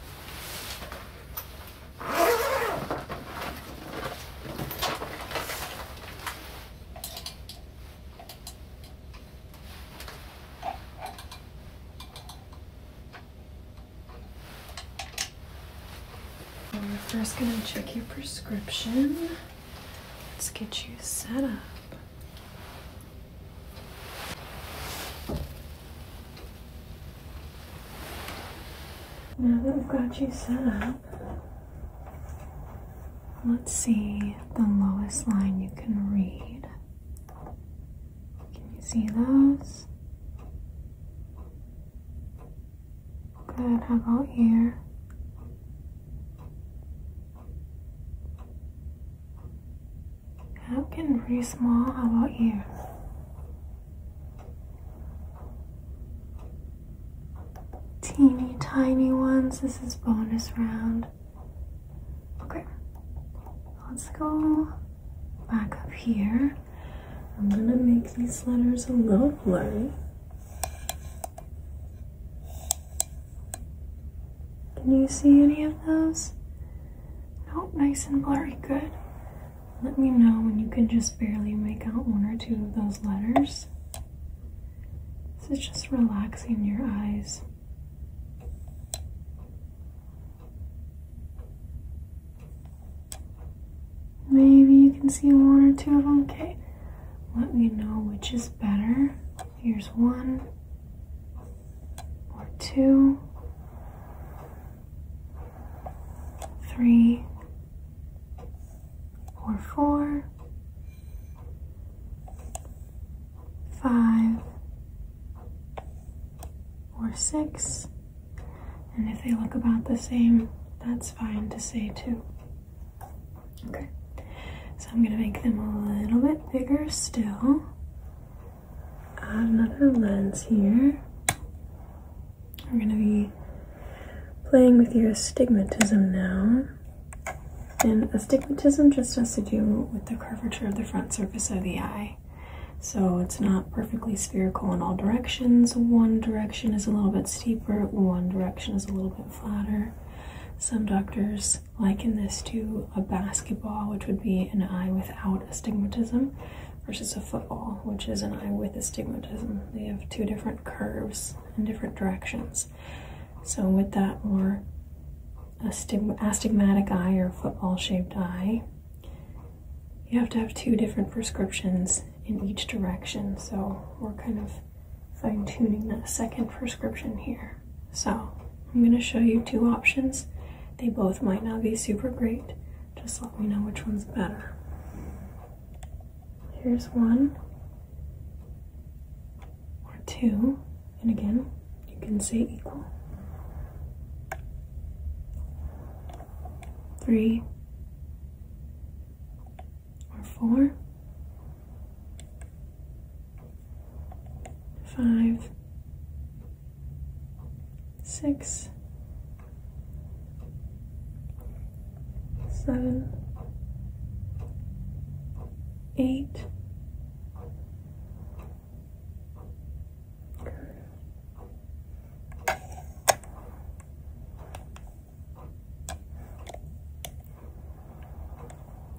We're first gonna check your prescription. Let's get you set up. Now that we've got you set up, let's see the lowest line you can read. Can you see those? Good, how about here? I'm getting pretty small. How about you? Teeny tiny ones. This is bonus round. Okay, let's go back up here. I'm gonna make these letters a little blurry. Can you see any of those? Oh, nice and blurry, good. Let me know when you can just barely make out one or two of those letters. This is just relaxing your eyes. Maybe you can see one or two of them. Okay, let me know which is better. Here's one or two, three, or four, five, or six. And if they look about the same, that's fine to say two. Okay, so I'm gonna make them a little bit bigger still add another lens here. We're going to be playing with your astigmatism now. And astigmatism just has to do with the curvature of the front surface of the eye. So it's not perfectly spherical in all directions. One direction is a little bit steeper, one direction is a little bit flatter. Some doctors liken this to a basketball, which would be an eye without astigmatism versus a football, which is an eye with astigmatism. They have two different curves in different directions. So, with that more astigmatic eye or football shaped eye, you have to have two different prescriptions in each direction. So, we're kind of fine tuning that second prescription here. So, I'm going to show you two options. They both might not be super great. Just let me know which one's better. Here's one or two, and again, you can say equal. Three or four five, six, seven, eight.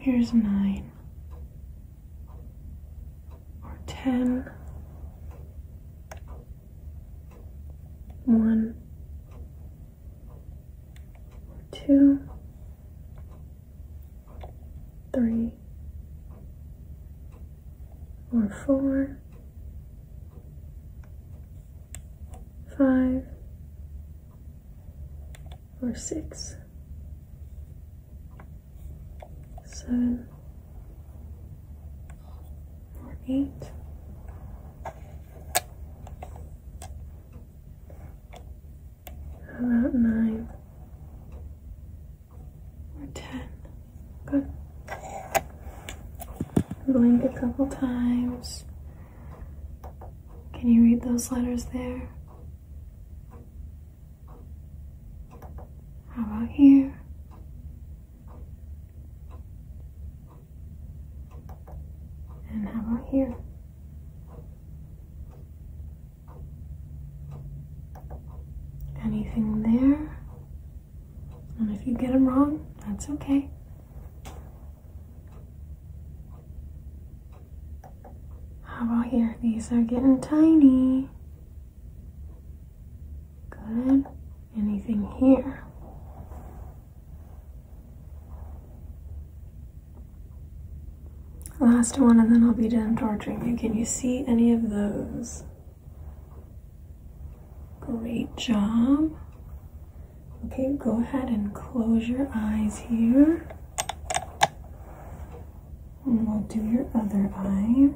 Here's nine or ten, one, two, three, or four, five, or six seven, or eight. about nine or ten? Good. Blink a couple times. Can you read those letters there? How about here? And how about here? Anything there? And if you get them wrong, that's okay. How about here? These are getting tiny. Good. Anything here? Last one, and then I'll be done torturing Can you see any of those? Great job. Okay, go ahead and close your eyes here. And we'll do your other eye.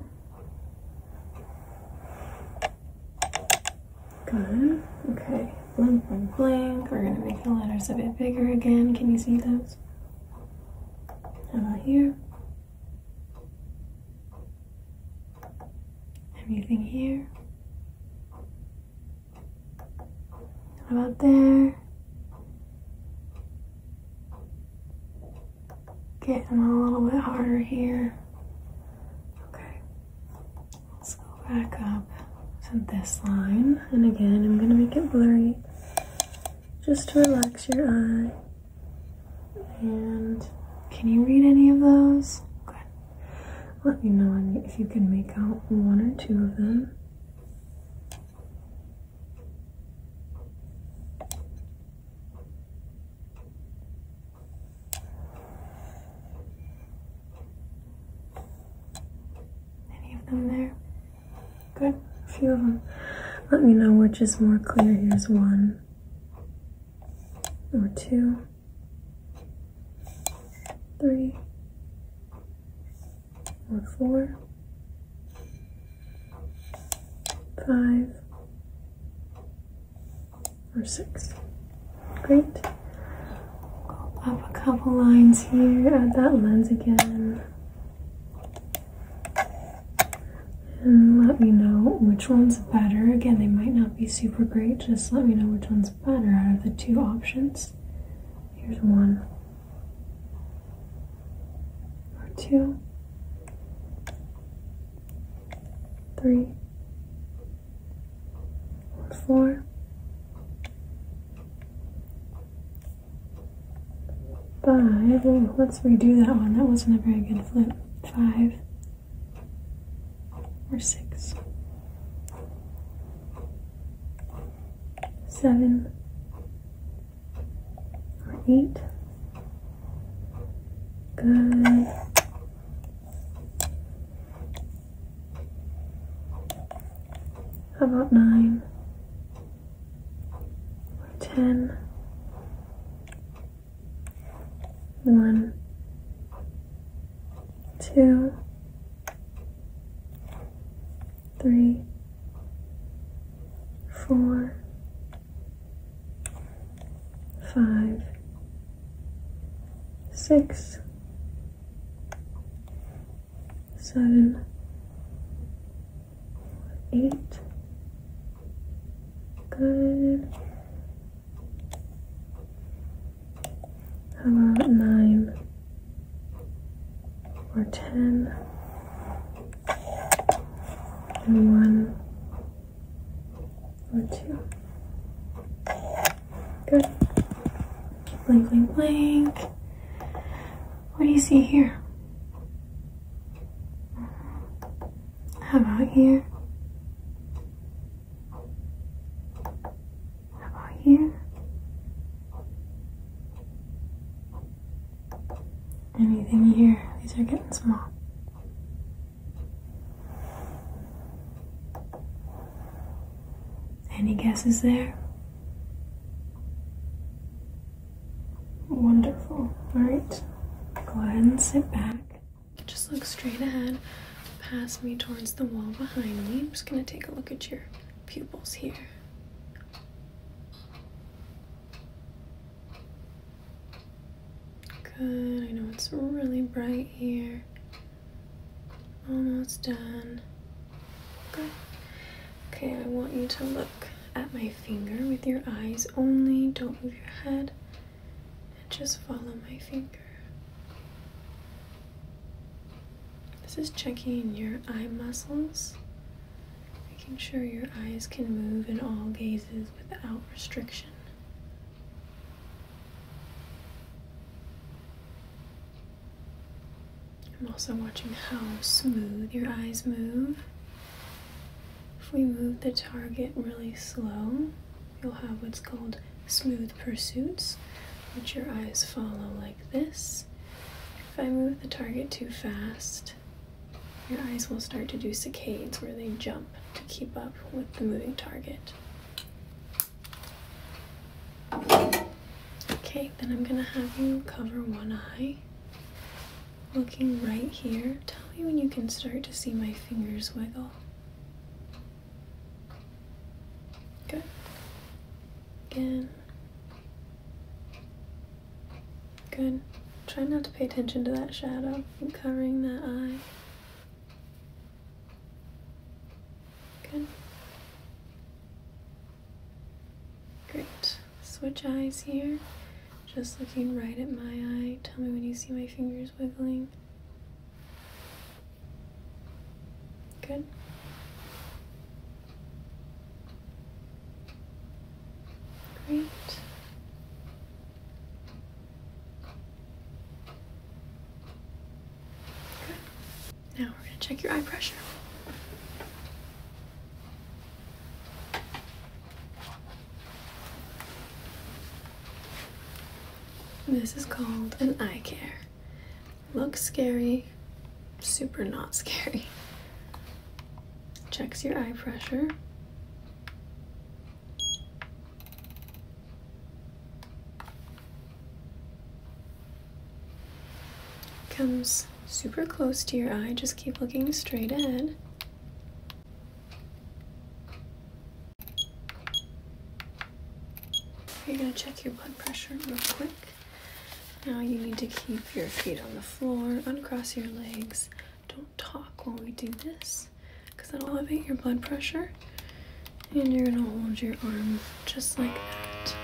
Good. Okay. Blink, blink, blink. We're going to make the letters a bit bigger again. Can you see those? How about here? Anything here? How about there? Getting a little bit harder here. Okay, let's go back up to this line. And again, I'm gonna make it blurry just to relax your eye. And can you read any of those? Let me know if you can make out one or two of them. Any of them there? Good, a few of them. Let me know which is more clear. Here's one or two, three, or four, five, or six. Great. Go up a couple lines here, add that lens again. And let me know which one's better. Again, they might not be super great, just let me know which one's better out of the two options. Here's one or two, let's redo that one. That wasn't a very good flip. Five or six, seven. Great. Good. How about nine? ten? One, two, three, four, five, six, seven, eight. Good. How about nine? or ten and one or two. Good. Blink, blink, blink. What do you see here? How about here? How about here? Anything here? These are getting small. Any guesses there? Wonderful. Alright, go ahead and sit back. Just look straight ahead, past me towards the wall behind me. I'm just going to take a look at your pupils here. Good, I know it's really bright here. Almost done. Good. Okay, I want you to look at my finger with your eyes only. Don't move your head. And just follow my finger. This is checking your eye muscles, making sure your eyes can move in all gazes without restriction. I'm also watching how smooth your eyes move. If we move the target really slow, you'll have what's called smooth pursuits, which your eyes follow like this. If I move the target too fast, your eyes will start to do saccades where they jump to keep up with the moving target. Okay, then I'm going to have you cover one eye. Looking right here, tell me when you can start to see my fingers wiggle. Good. Again. Good. Try not to pay attention to that shadow. I'm covering that eye. Good. Great. Switch eyes here. Just looking right at my eye. Tell me when you see my fingers wiggling. Good. Great. Now we're going to check your eye pressure. This is called an eye care. Looks scary, super not scary. Checks your eye pressure. Comes super close to your eye, just keep looking straight ahead. You're gonna check your blood pressure real quick. Now you need to keep your feet on the floor, uncross your legs. Don't talk while we do this because that'll elevate your blood pressure. And you're going to hold your arms just like that.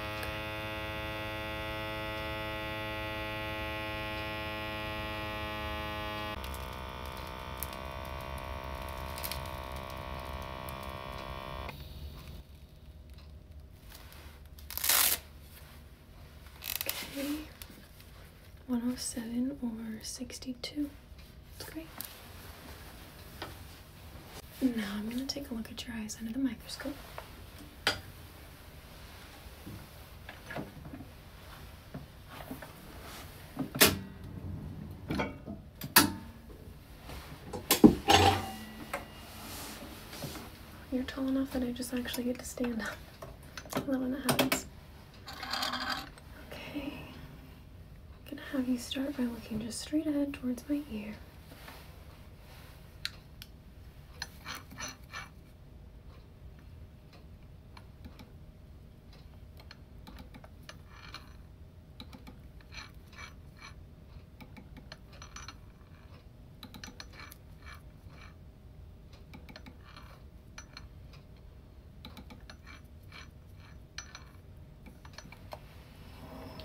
Okay. 107 or 62. That's great. Now I'm going to take a look at your eyes under the microscope. You're tall enough that I just actually get to stand up. I love happens. Okay. I'm gonna have you start by looking just straight ahead towards my ear.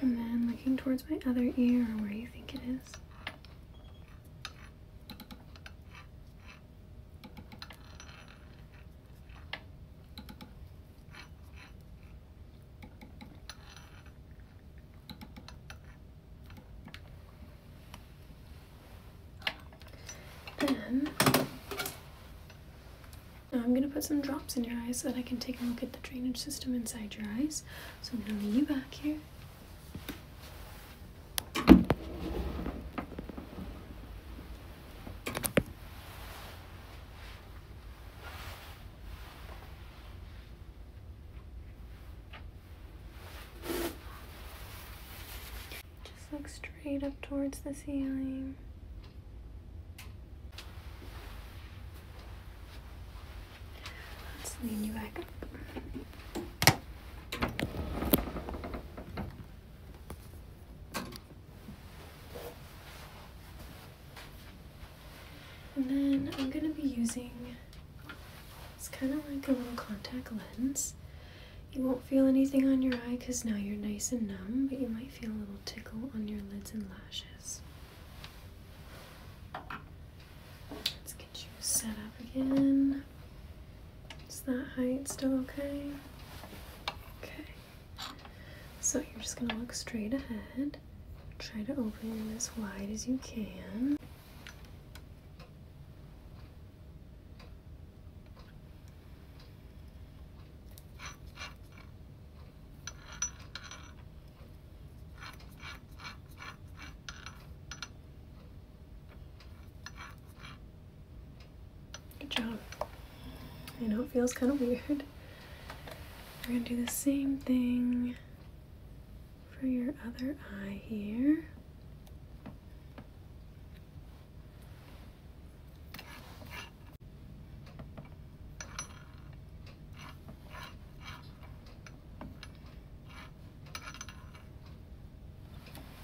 And then looking towards my other ear where you think it is. And now I'm going to put some drops in your eyes so that I can take a look at the drainage system inside your eyes. So I'm going to leave you back here. Just look straight up towards the ceiling. Let's lean you back and then I'm going to be using it's kind of like a little contact lens. You won't feel anything on your eye because now you're nice and numb, but you might feel a little tickle on your lids and lashes. Let's get you set up again. Is that height still okay? Okay. So you're just going to look straight ahead. Try to open as wide as you can. Good job. I know it feels kind of weird, we're going to do the same thing for your other eye here.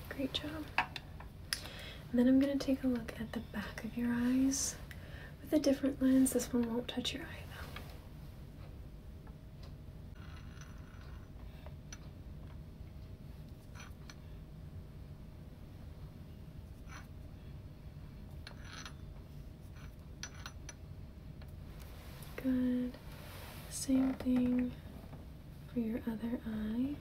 Great job. then I'm going to take a look at the back of your eyes with a different lens. This one won't touch your eye though. Good. Same thing for your other eye.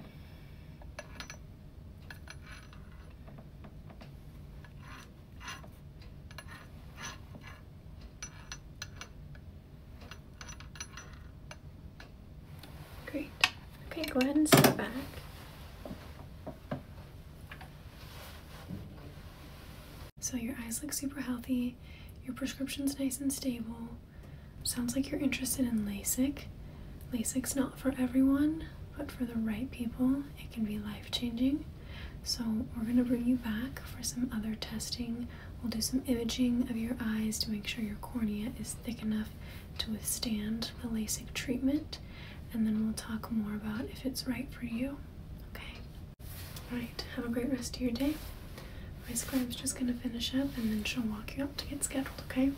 Great. Okay, go ahead and step back. So your eyes look super healthy, your prescription's nice and stable. Sounds like you're interested in LASIK. LASIK's not for everyone, but for the right people, it can be life-changing. So, we're going to bring you back for some other testing. We'll do some imaging of your eyes to make sure your cornea is thick enough to withstand the LASIK treatment, and then we'll talk more about if it's right for you. Okay? Alright, have a great rest of your day. My scribe's just going to finish up and then she'll walk you up to get scheduled, okay?